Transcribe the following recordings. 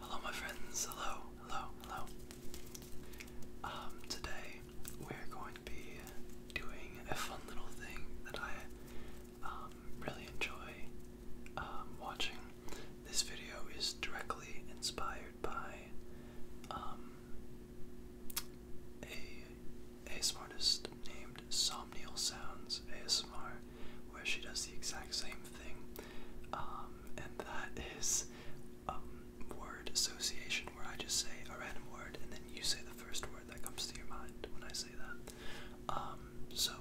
Hello, my friends. Hello, hello, hello. Um, today we're going to be doing a fun little thing that I um, really enjoy um, watching. This video is directly inspired by a a named Somnial Sounds ASMR where she does the exact same thing, um, and that is um, word association, where I just say a random word and then you say the first word that comes to your mind when I say that. Um, so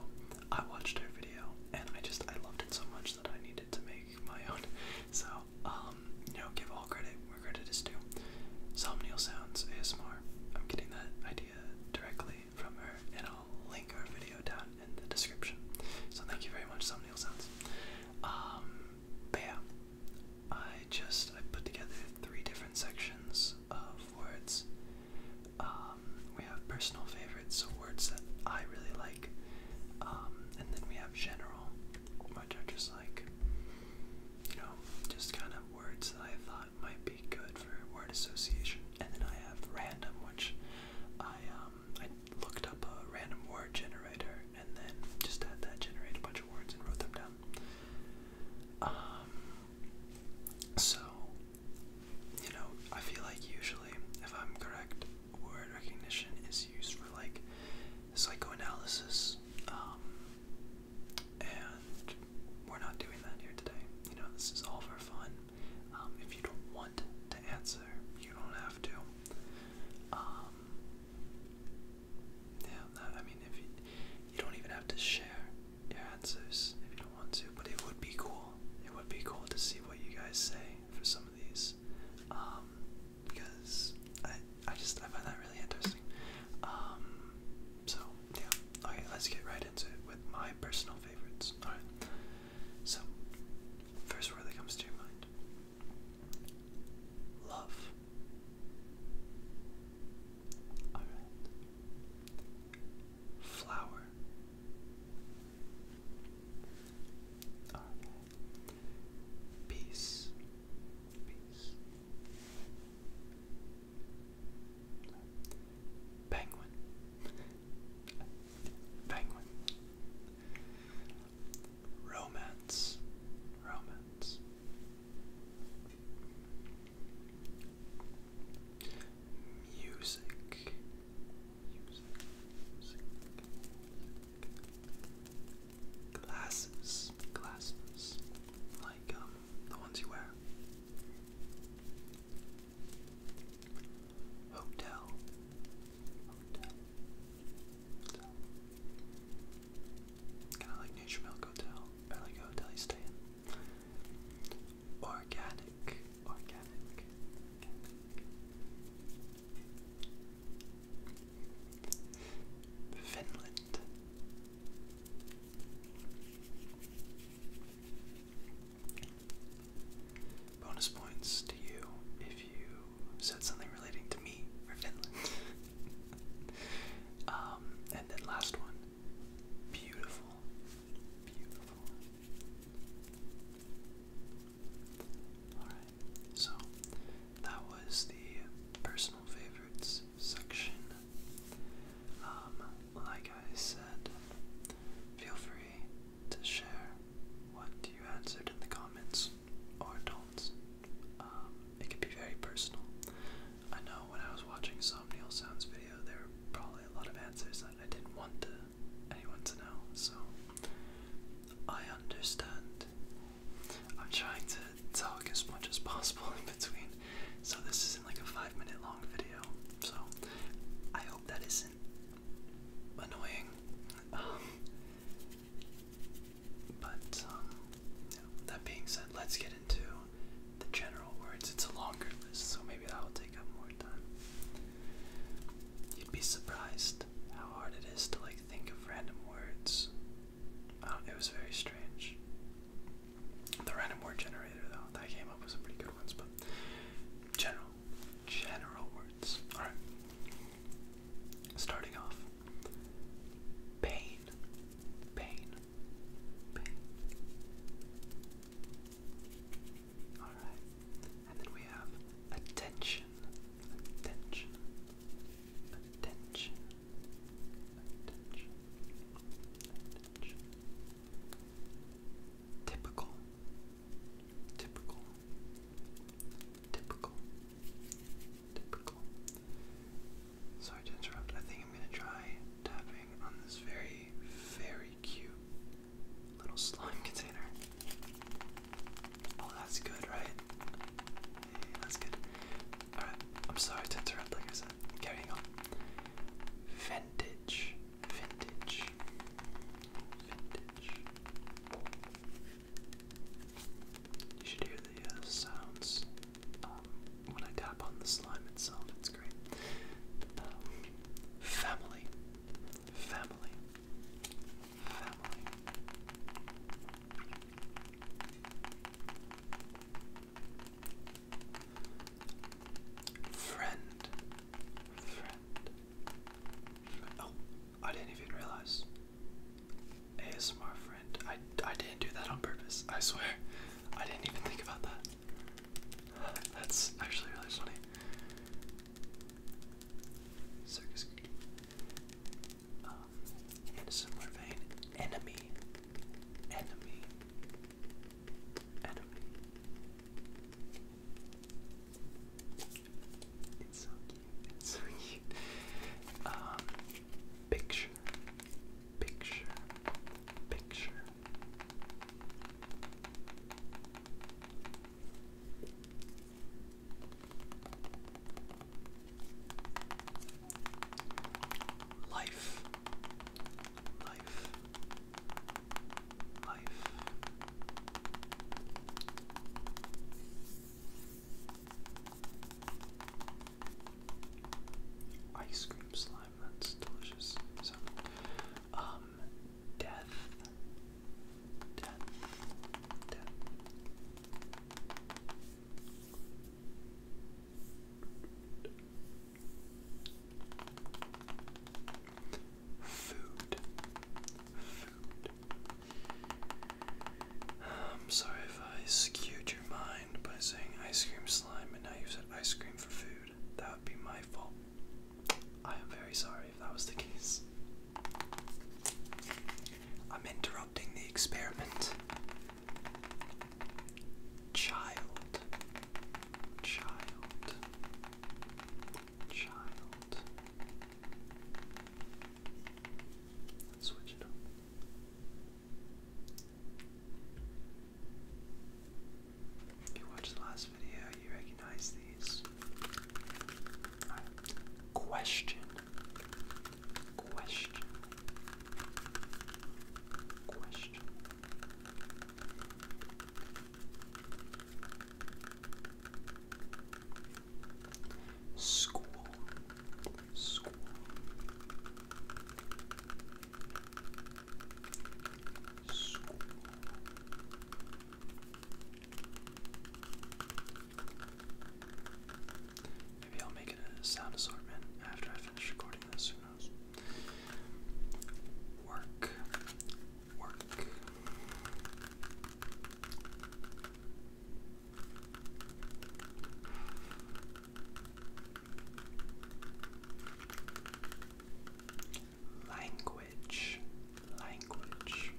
I watched her video and I just I loved it so much that I needed to make my own. So um, you know, give all credit where credit is due. Somnial sounds ASMR. I'm getting that idea directly from her, and I'll link her video down in the description. So thank you very much, Thumbnail Sounds. Um, I just I put together three different sections of words. Um, we have personal favorites, words that I really like, um, and then we have general, which are just like, you know, just kind of words that I thought might be good for word association. And then I have random, which I um I looked up a random word generator and then just had that generate a bunch of words and wrote them down. Um so you know, I feel like usually, if I'm correct, word recognition is used for like psychoanalysis, um, and we're not doing that here today. You know, this is all for fun. Um, if you don't want to answer, you don't have to. Um, yeah, I mean, if you, you don't even have to share your answers if you don't want to, but it would be cool. It would be cool to see what you guys say for some of these, um, because I I just I find that really interesting. so yeah. Okay, let's get right into it with my personal favorites. Alright. So, first word that comes to your mind love. Alright. Flower. Alright. Peace. Peace. Penguin. Penguin. Romance. Romance. Music. Music. Glasses. Glasses. Like um, the ones you wear. Hotel. Hotel. Hotel. Kind of like Nature Milk Hotel, like hotel you stay Organic. Organic. Finland. Bonus points to you if you said something relating to me or Finland. Um, and then last one. Beautiful. Beautiful. Alright, so that was the personal favorites section. Um, like I said, feel free to share what you answered in the comments or don't. Um, it can be very personal. I know when I was watching Somnial Sounds video, there were probably a lot of answers I didn't want to, anyone to know, so I understand. I'm trying to talk as much as possible in between, so this is like a five minute long video, so I hope that isn't annoying. Um, but um, that being said, let's get into the general words. It's a longer list, so maybe that will take up more time. You'd be surprised how hard it is to like think of random words. Uh, it was very strange. The random word generator, though, that came up with some pretty good ones, but general, general words. All right. Starting off, pain, pain, pain. All right, and then we have attention, attention, attention attention, attention. Typical, typical, typical, typical. Sorry to interrupt. I think I'm gonna try tapping on this very, very cute little slime container. Oh, that's good, right? Yeah, that's good. Alright, I'm sorry to interrupt, like I said. Carrying on. Vintage. Vintage. Vintage. You should hear the uh, sounds um, when I tap on the slime itself. It's great. Um, family. Family. Family. Friend. Friend. Oh, I didn't even realize. ASMR friend. I, I didn't do that on purpose, I swear. I didn't even think about that. That's actually really funny. Circus. Um, in a similar enemy. Enemy enemy. so cute. so cute. Um, picture, picture, picture. Life, life, life. Ice cream slime, that's delicious. Um, death, death, death. Food. I'm um, sorry if I skewed your mind by saying ice cream slime and now you said ice cream for food. That would be my fault. I am very sorry if that was the case. I'm interrupting the experiment. Child, child, child. switch it up. If you watched the last video, you recognize these. Question. Question question. School, school, school, maybe I'll make it a sound assortment after I finish recording this knows. Work, Language, language,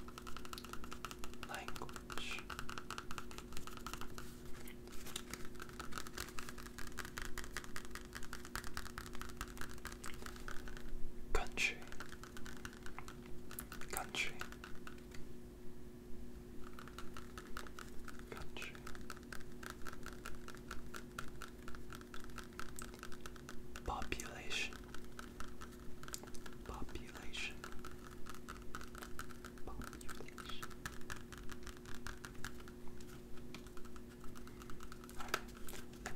language. Country, country, country, population, population, and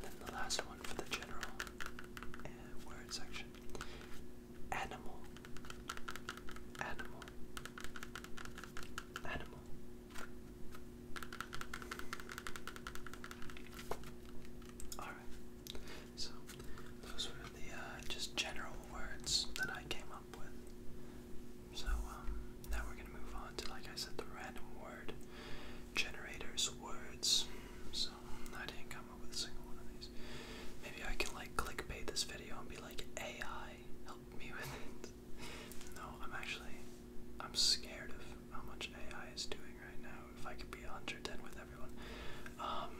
then the last one for the general uh, word section animal, animal, animal. Alright, so those were the uh, just general words that I came up with. So um, now we're gonna move on to, like I said, the random word generators words. So I didn't come up with a single one of these. Maybe I can like clickbait this video and be like, AI, help me with it. No, I'm actually, I'm scared of how much AI is doing right now. If I could be 110 with everyone, um,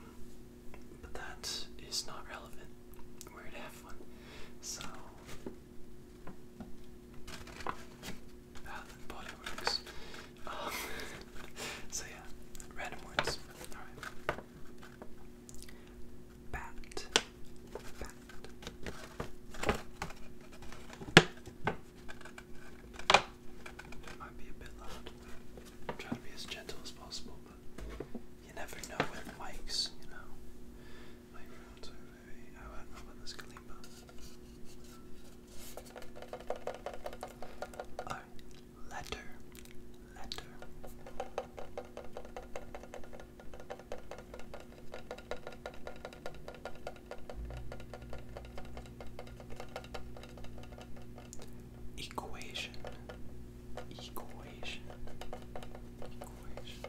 but that is not relevant. We're gonna have fun. So Ah, um, so yeah, random words. Bat. Bat. might be a bit loud. I'm trying to be as gentle as possible, you never know with mics, you know. Microphones are very. I don't know about this Kalimba. Alright, letter. Letter. Equation equation. Equation.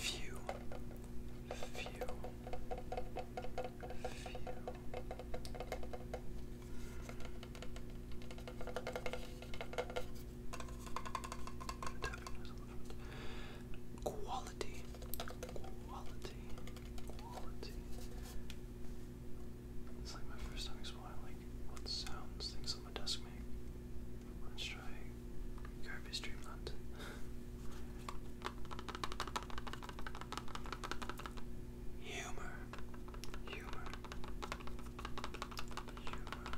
Few, few, few. Quality. Quality. Quality. It's like my first time exploring what sounds things on my desk make. Let's try Kirby Streamland. Humor. Humor. Humor.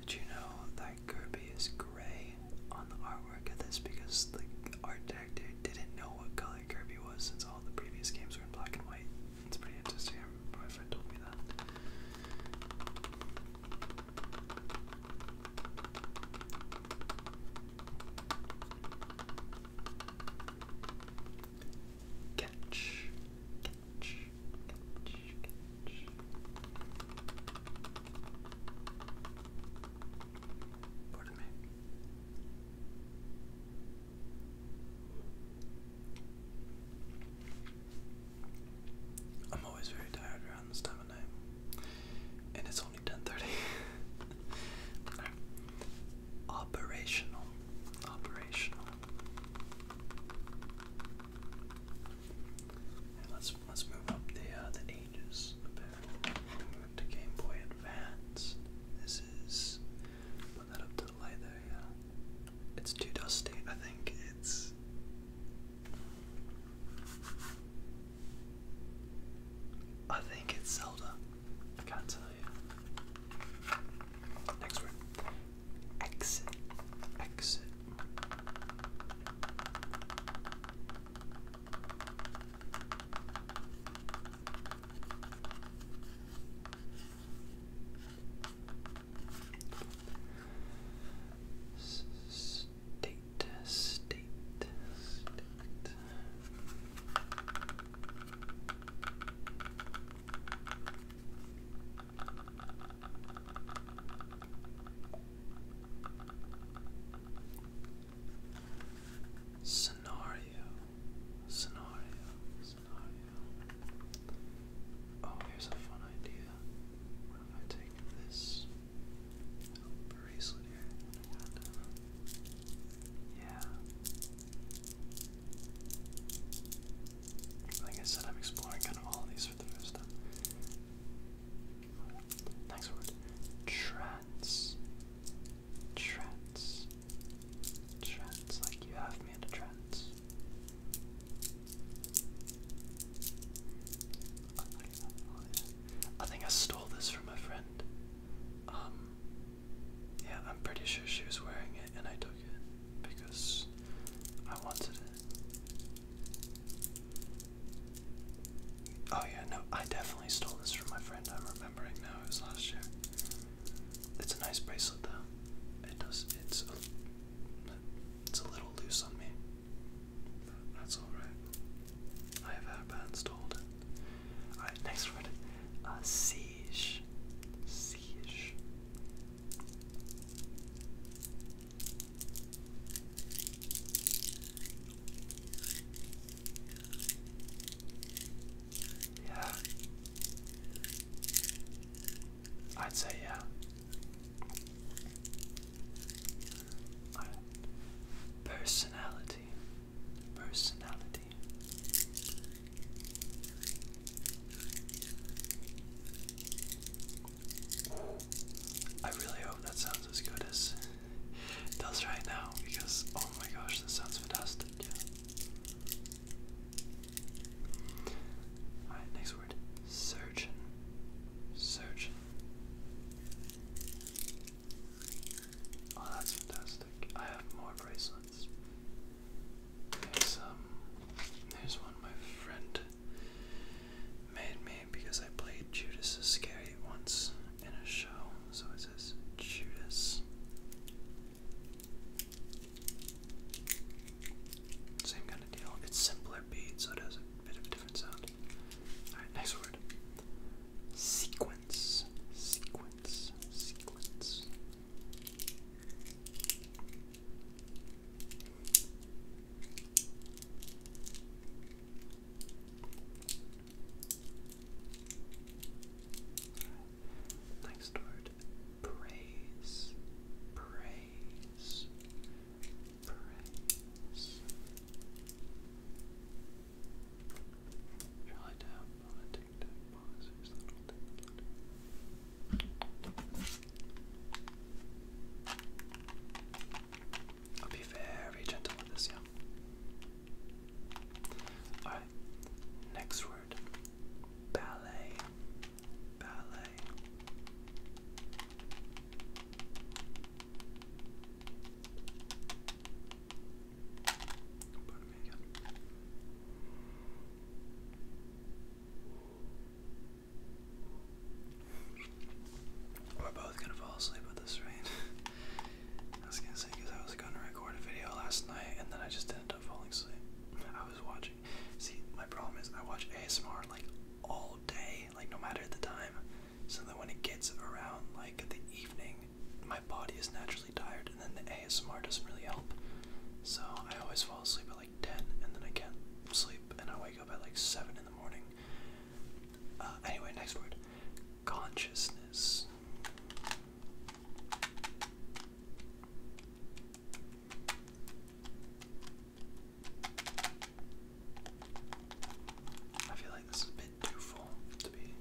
Did you know that Kirby is gray on the artwork of this because the art director didn't know what color Kirby was since all the previous games were in black and white? It's pretty interesting. my friend told me that. Catch, I'm always very tired around this time of night. And it's only 10:30. Operational. Operational let's let's move up the uh, the ages a bit. Move to Game Boy Advance. This is put that up to the light there. Yeah, it's too dusty. I think it's. I think it's Zelda. I can't tell you. Next word exit, exit. State, state, Scenario, scenario, scenario. Oh, here's a fun idea. What if I take this bracelet here? yeah. Like I said, I'm exploring kind of all these for the first time. Next word trance. Trance. Trance. Like you have me in a trance. I think I stole this from my friend. Um, yeah, I'm pretty sure she was wearing it and I took it because I wanted it. Oh yeah, no, I definitely stole this from my friend. I'm remembering now. It was last year. It's a nice bracelet though. It does. It's a, it's a little loose on me. that's all right. I have had band stolen. All right, next word. Uh, siege. Siege. Yeah. I'd say yeah. Personality. Personality. I really hope that sounds as good as it does right now because oh my gosh, this sounds fantastic. Alright, next word surgeon. Surgeon. Oh, that's fantastic. I have more bracelets. There's um, there's one my friend made me because I played Judas Iscariot once in a show. So it says Judas. Same kind of deal. It's simpler beat, so it has a bit of a different sound. Alright, word. Sequence. Sequence. Sequence. Next word praise, praise, praise. Shall I tap on a tic tac I'll be very gentle with this, yeah. Alright, next word ballet. Ballet. Pardon me again. We're both gonna fall asleep with this, right? I was gonna say because I was gonna record a video last night and then I just ended up falling asleep. I was watching. See, my problem is I watch ASMR like all day, like no matter the time. So that when it gets around like the evening, my body is naturally tired, and then the ASMR doesn't really help. So I always fall asleep at like 10 and then I can sleep and I wake up at like 7 in the morning. Uh, anyway, next word consciousness. I feel like this is a bit too full to be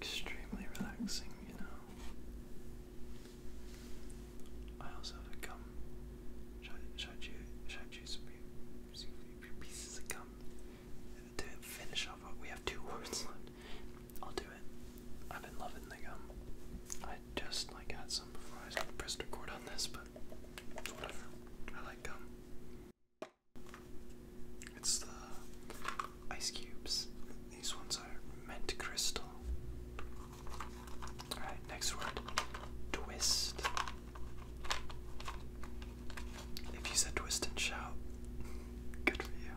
extremely relaxing, you know. I also have gum. Should I, should I, choose, should I choose pieces of gum? To finish off, we have two words I'll do it. I've been loving the gum. I just like had some before I pressed record on this, but I like gum. It's the ice cubes. These ones are mint crystal. Alright, next word twist. If you said twist and shout, good for you.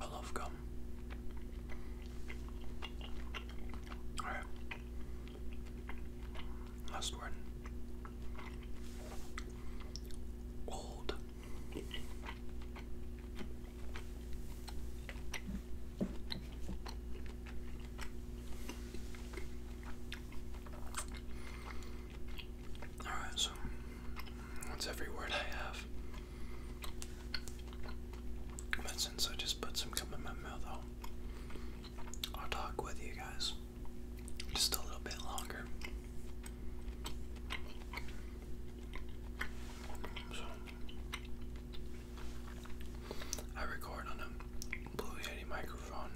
I love gum. Alright. Last word. Old. Alright, so that's every word I have. But since I just put some gum in my mouth, I'll, I'll talk with you guys just a little bit longer. So, I record on a Blue Yeti microphone,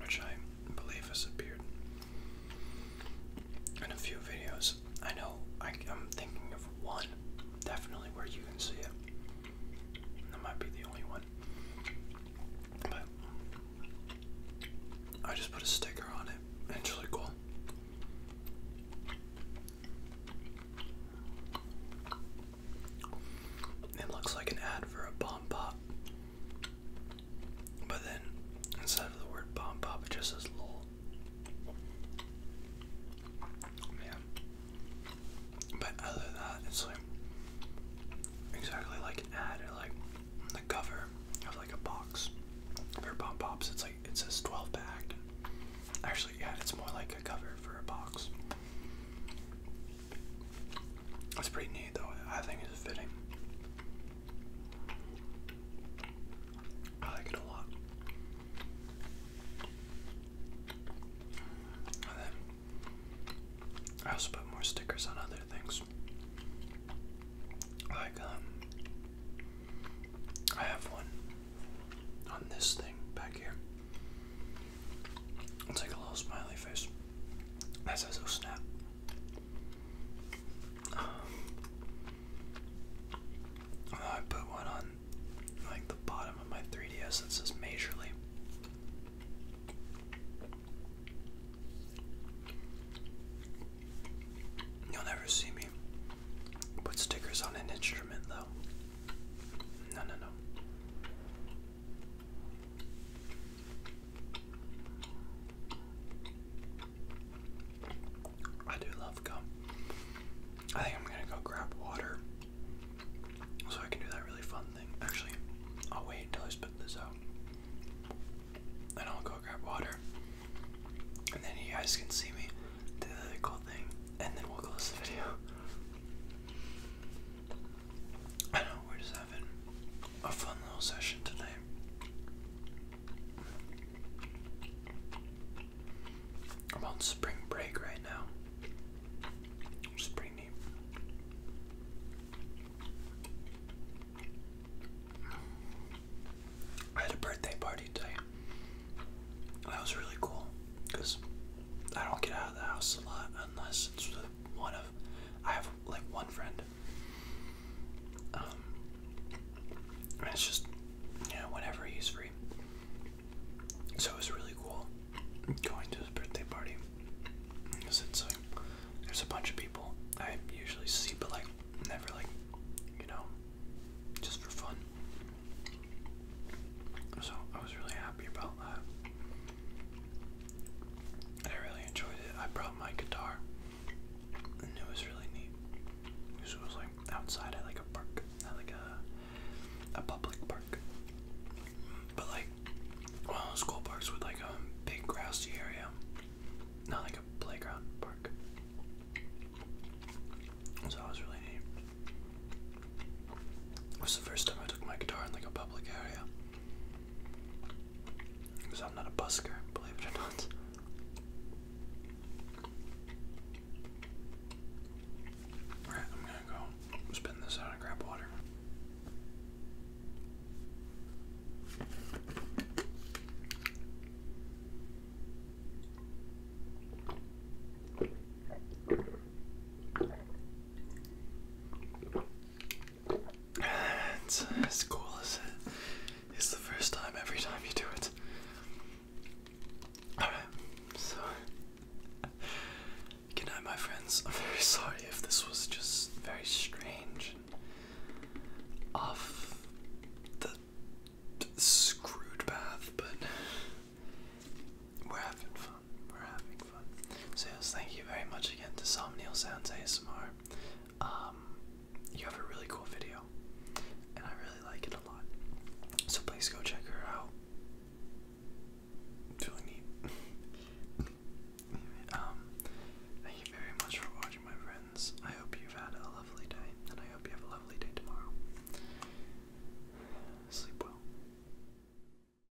which I Believe has appeared in a few videos. I know I, am thinking of one definitely where you can see it. That might be the only one. But I just put a sticker on it, and cool. It looks like an ad for a bomb pop. But then instead of the word bomb pop, it just says lol. Man. But other than that, it's like exactly like an ad like the cover of like a box for bomb pops. It's like it says 12 pack. Actually, yeah, it's more like a cover for a box. That's pretty neat, though. I think it's fitting. I like it a lot. I also put more stickers on other things. Like, um, I have one on this thing back here. It's like a little smiley face. That says oh snap. Um, I put one on like the bottom of my 3DS that says majorly. You'll never see me put stickers on an instrument though. No, no, no. I do love gum. I think I'm gonna go grab water so I can do that really fun thing. Actually, I'll wait until I spit this out. And I'll go grab water. And then you guys can see me do the cool thing. And then we'll close the video. I know, we're a fun little session today. i spring break right now. It's pretty I had a birthday party today. That was really cool because I don't get out of the house a lot unless it's one of I have like one friend. and um, it's just you know, whenever he's free. So it was really cool going to his birthday party. Cause it's like there's a bunch of people I usually see but like never like you know just for fun. So I was really happy about that. I really enjoyed it. I brought my guitar and it was really neat. Because it was like outside at like a park, at like a a public park. But like one school parks with like a um, big grassy area. Not like a playground park. So that was really neat. It was the first time I took my guitar in like a public area. Because I'm not a busker, believe it or not. Alright, I'm gonna go spin this out and grab water. It's as cool as it is the first time every time you do it. Alright, so. Good my friends. I'm very sorry if this was just very strange off the screwed path, but we're having fun. So yes, thank you very much again to Somnial Sounds ASMR. Um, you have a really cool video, and I really like it a lot. So please go check her out. It's neat. Um, thank you very much for watching, my friends. I hope you've had a lovely day, and I hope you have a lovely day tomorrow. Sleep well.